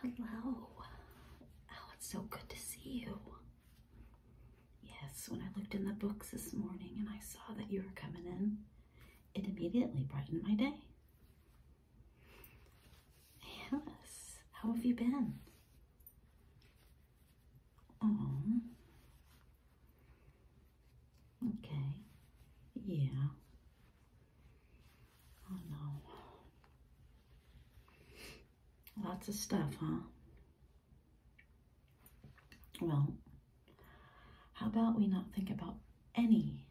Hello. Oh, it's so good to see you. Yes, when I looked in the books this morning and I saw that you were coming in, it immediately brightened my day. Yes, how have you been? Oh. Okay. Yeah. Oh no. Lots of stuff, huh? Well, how about we not think about anything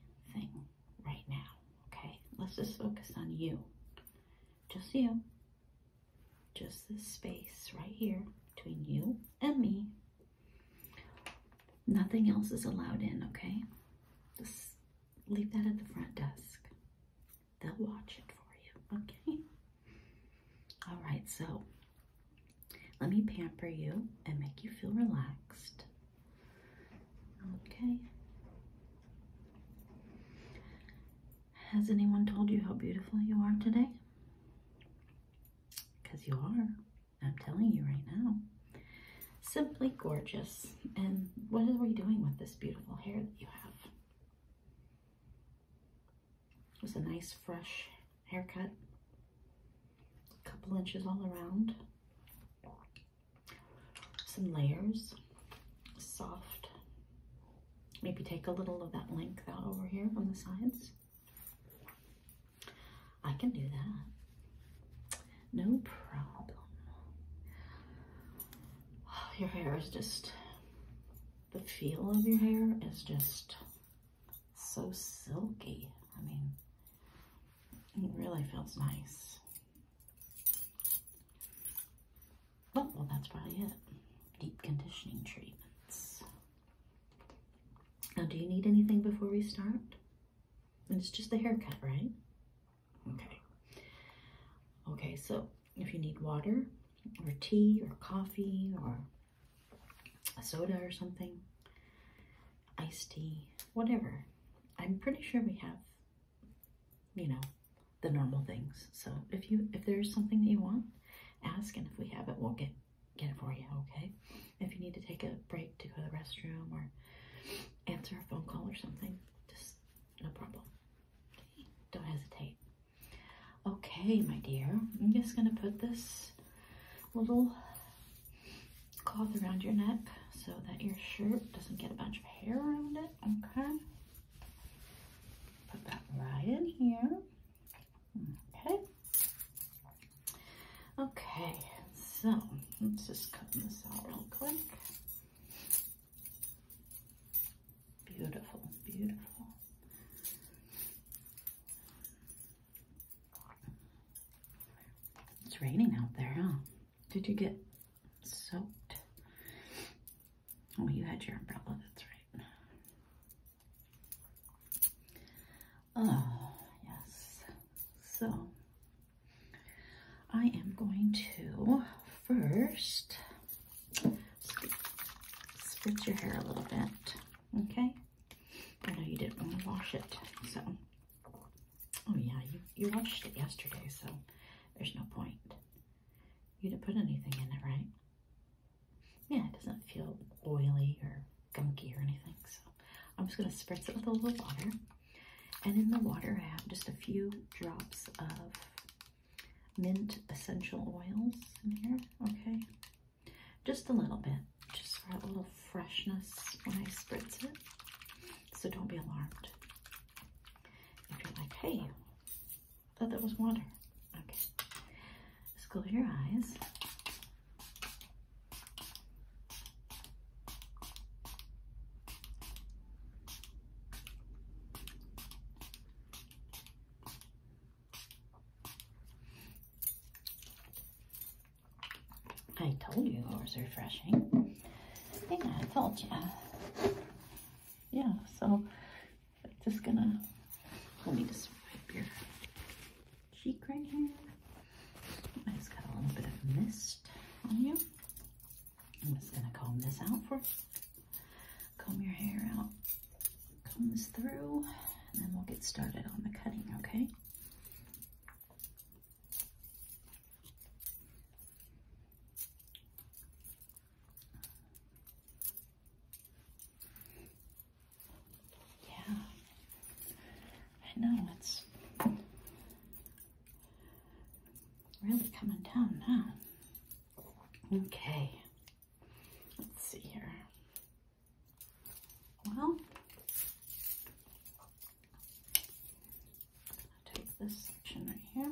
right now, okay? Let's just focus on you. Just you. Just this space right here between you and me. Nothing else is allowed in, okay? leave that at the front desk. They'll watch it for you, okay? All right, so let me pamper you and make you feel relaxed. Okay. Has anyone told you how beautiful you are today? Because you are. I'm telling you right now. Simply gorgeous. And what are we doing with this beautiful hair that you have? It's a nice fresh haircut. A couple inches all around. Some layers. Soft. Maybe take a little of that length out over here on the sides. I can do that. No problem. Your hair is just, the feel of your hair is just so silky. I mean, it really feels nice. But, oh, well, that's probably it. Deep conditioning treatments. Now, do you need anything before we start? And it's just the haircut, right? Okay. Okay, so if you need water or tea or coffee or a soda or something, iced tea, whatever. I'm pretty sure we have, you know, the normal things. So if you if there's something that you want, ask and if we have it, we'll get get it for you, okay? If you need to take a break to go to the restroom or answer a phone call or something, just no problem. Don't hesitate. Okay, my dear, I'm just going to put this little cloth around your neck so that your shirt doesn't get a bunch of hair around it. Okay. Put that right in here. Okay. Okay, so let's just cut this out real quick. Beautiful, beautiful. It's raining out there, huh? Did you get soaked? Oh, you had your umbrella, that's right. Oh, yes. So I am going to first spritz your hair a little bit, okay? I know you didn't want to wash it, so. Oh yeah, you, you washed it yesterday, so there's no point. You didn't put anything in it, right? Yeah, it doesn't feel oily or gunky or anything, so I'm just going to spritz it with a little water. And in the water, I have just a few drops of mint essential oils in here, okay? Just a little bit, just for a little freshness when I spritz it. So don't be alarmed. If you're like, hey, I thought that was water. Okay. Just close your eyes. I told you it was refreshing. Yeah, I told you. Yeah, so I'm just gonna, let me just wipe your cheek right here. I just got a little bit of mist on you. I'm just gonna comb this out for comb your hair out, comb this through, and then we'll get started on the cutting, okay? Yeah, I know it's really coming down now. Okay, let's see here. Well, take this section right here.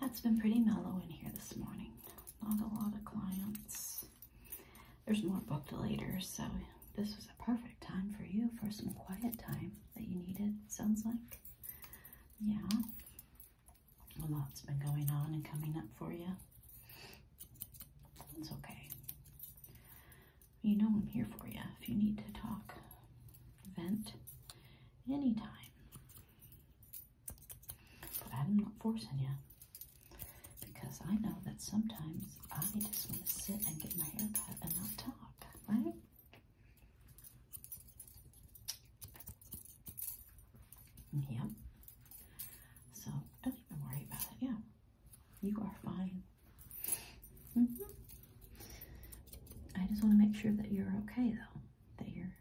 Yeah, it's been pretty mellow in here this morning. Not a lot of clients. There's more booked later, so this was a perfect time for you for some quiet time that you needed, sounds like. Yeah. A lot's been going on and coming up for you. It's okay. You know I'm here for you if you need to talk, vent, anytime. But I'm not forcing you because I know that sometimes I just want to sit and get my hair cut and not talk, right? Yep. So don't even worry about it. Yeah. You are fine. Mm-hmm. I just want to make sure that you're okay though. That you're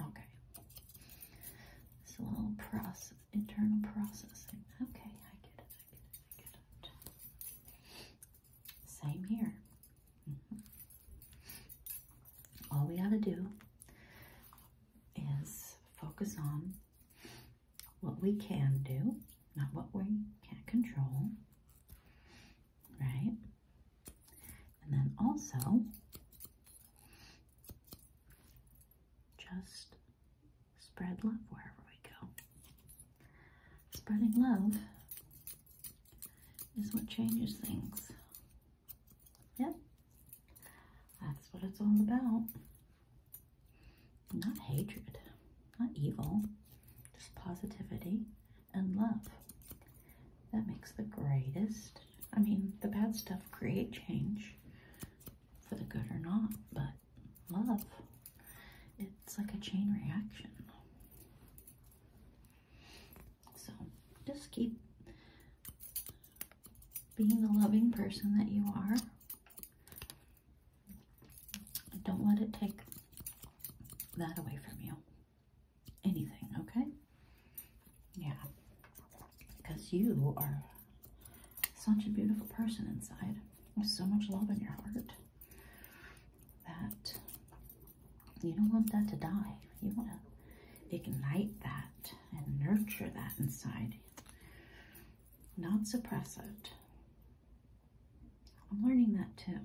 okay. It's a little process, internal processing. Okay, I get it. I get it. I get it. Same here. Mm-hmm. All we got to do is focus on what we can do, not what we can't control, right? And then also just spread love wherever we go. Spreading love is what changes things. Yep. That's what it's all about. Not hatred, not evil, just positivity and love. That makes the greatest. I mean, the bad stuff create change for the good or not, but love, it's like a chain reaction. So just keep being the loving person that you are. Don't let it take that away from you. Anything, okay? Yeah. Because you are such a beautiful person inside. There's so much love in your heart that you don't want that to die. You want to ignite that and nurture that inside not suppress it. I'm learning that too.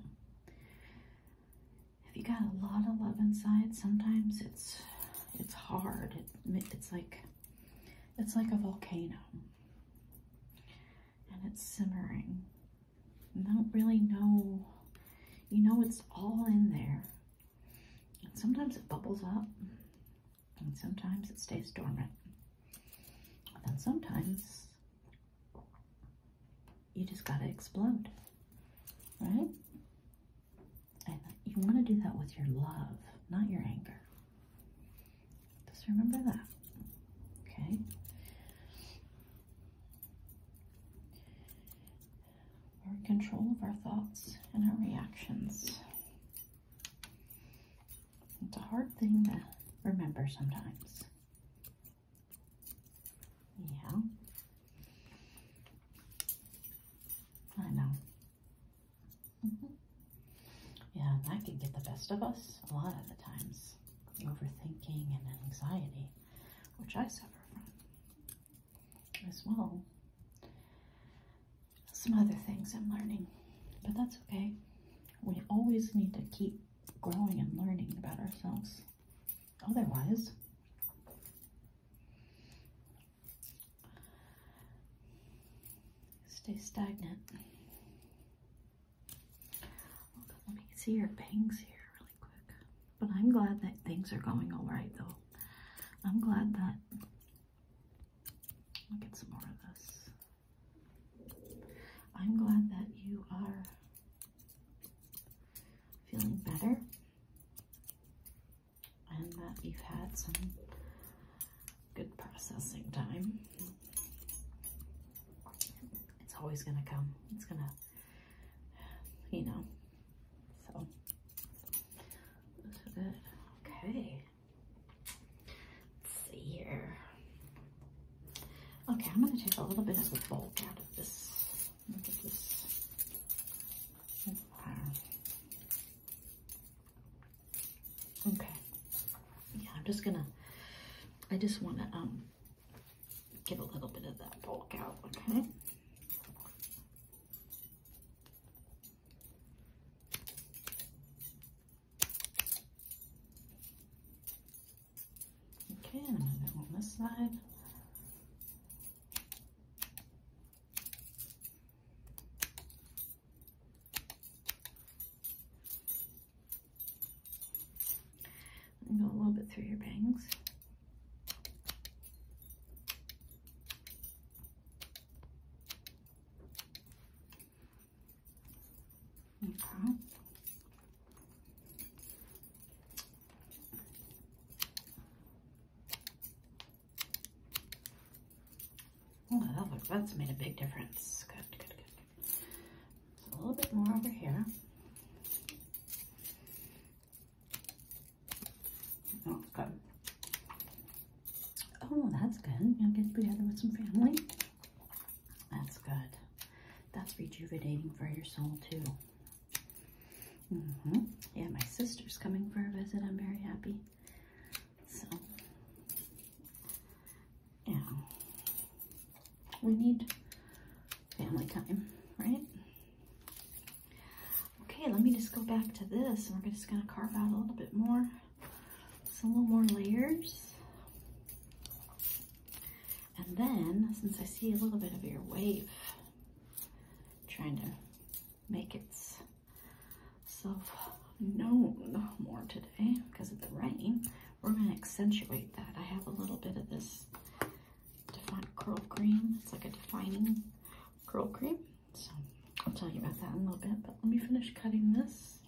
If you got a lot of love inside, sometimes it's it's hard. it's like it's like a volcano, and it's simmering. You don't really know. You know it's all in there, and sometimes it bubbles up, and sometimes it stays dormant. And sometimes you just gotta explode, right? And you wanna do that with your love, not your anger. Just remember that, okay? our control of our thoughts and our reactions. It's a hard thing to remember sometimes. Yeah. I know. Mm-hmm. Yeah, that can get the best of us a lot of the times. Overthinking and anxiety, which I suffer from as well. Some other things I'm learning, but that's okay. We always need to keep growing and learning about ourselves. Otherwise, stay stagnant. Look, oh, let me see your bangs here but I'm glad that things are going all right, though. I'm glad that. I'll get some more of this. I'm glad that you are feeling better and that you've had some good processing time. It's always going to come. It's going to you know. So, Okay. Let's see here. Okay, I'm going to take a little bit of the bulk out of this. Okay. Yeah, I'm just going to, I just want to, um, get a little bit of that bulk out, okay? Okay, and on this side. And go a little bit through your bangs. Okay. Oh, that's made a big difference. Good, good, good. a little bit more over here. Oh, good. Oh, that's good. i will get together with some family. That's good. That's rejuvenating for your soul, too. Mm hmm Yeah, my sister's coming for a visit. I'm very happy. So, yeah. We need family time, right? Okay, let me just go back to this and we're just gonna carve out a little bit more, some little more layers. And then, since I see a little bit of your wave, trying to make itself known more today because of the rain, we're gonna accentuate that. I have a little bit of this curl cream. It's like a defining curl cream. So I'll tell you about that in a little bit, but let me finish cutting this.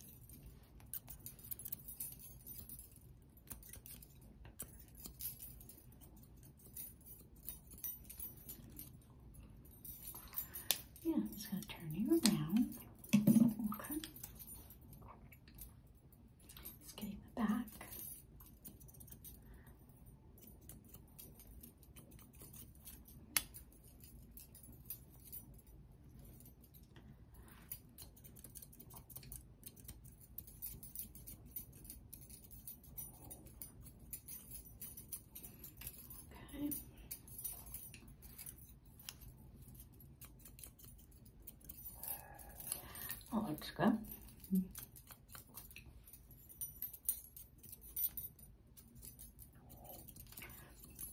Yeah, i just gonna turn you around. Okay. Just getting the back. Okay. Oczka.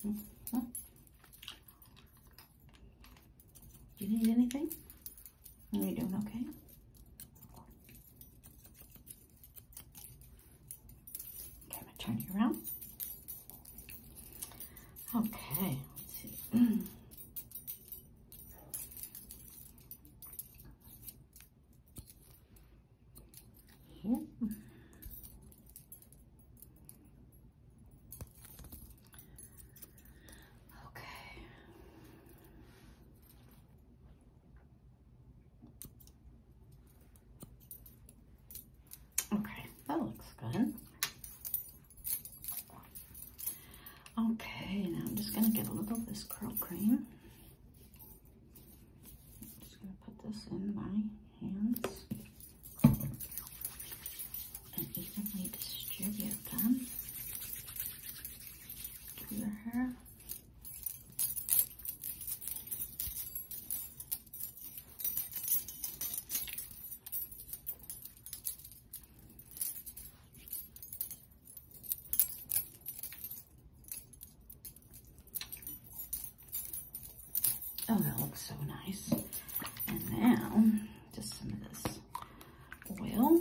Do mm-hmm. you need anything? Are you doing okay? Okay, I'm going around. Okay, let's see. Okay. Okay, that looks good. Okay, now I'm just going to get a little of this curl cream. just going to put this in my hands and evenly distribute them to your hair. Oh, that looks so nice. And now, just some of this oil.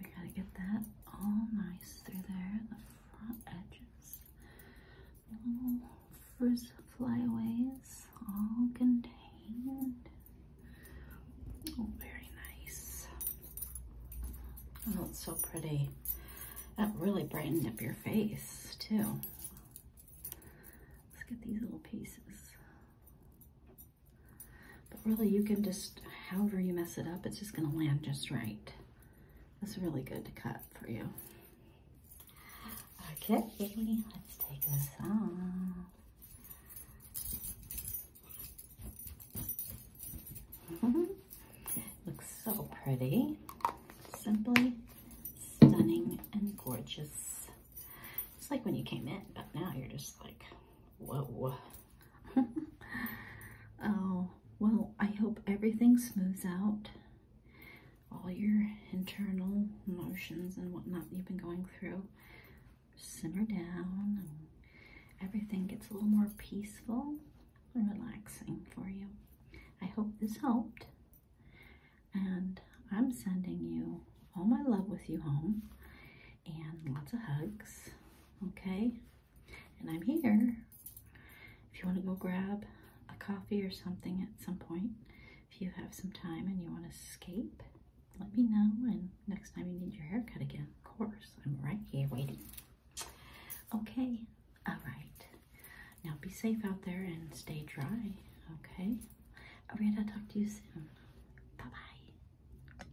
We gotta get that all nice through there, the front edges, little frizz flyaways, all contained. Oh, very nice. Oh, it's so pretty. That really brightened up your face, too. Let's get these little pieces. But really you can just, however you mess it up, it's just gonna land just right. That's really good to cut for you. Okay, let's take this off. Looks so pretty. Simply stunning and gorgeous. It's like when you came in, but now you're just like, whoa. oh, well, I hope everything smooths out. All your internal emotions and whatnot you've been going through simmer down everything gets a little more peaceful and relaxing for you. I hope this helped. And I'm sending you all my love with you home and lots of hugs. Okay? and I'm here. If you want to go grab a coffee or something at some point, if you have some time and you want to escape, let me know. And next time you need your haircut again, of course, I'm right here waiting. Okay, all right. Now be safe out there and stay dry, okay? Arietta, talk to you soon. Bye-bye.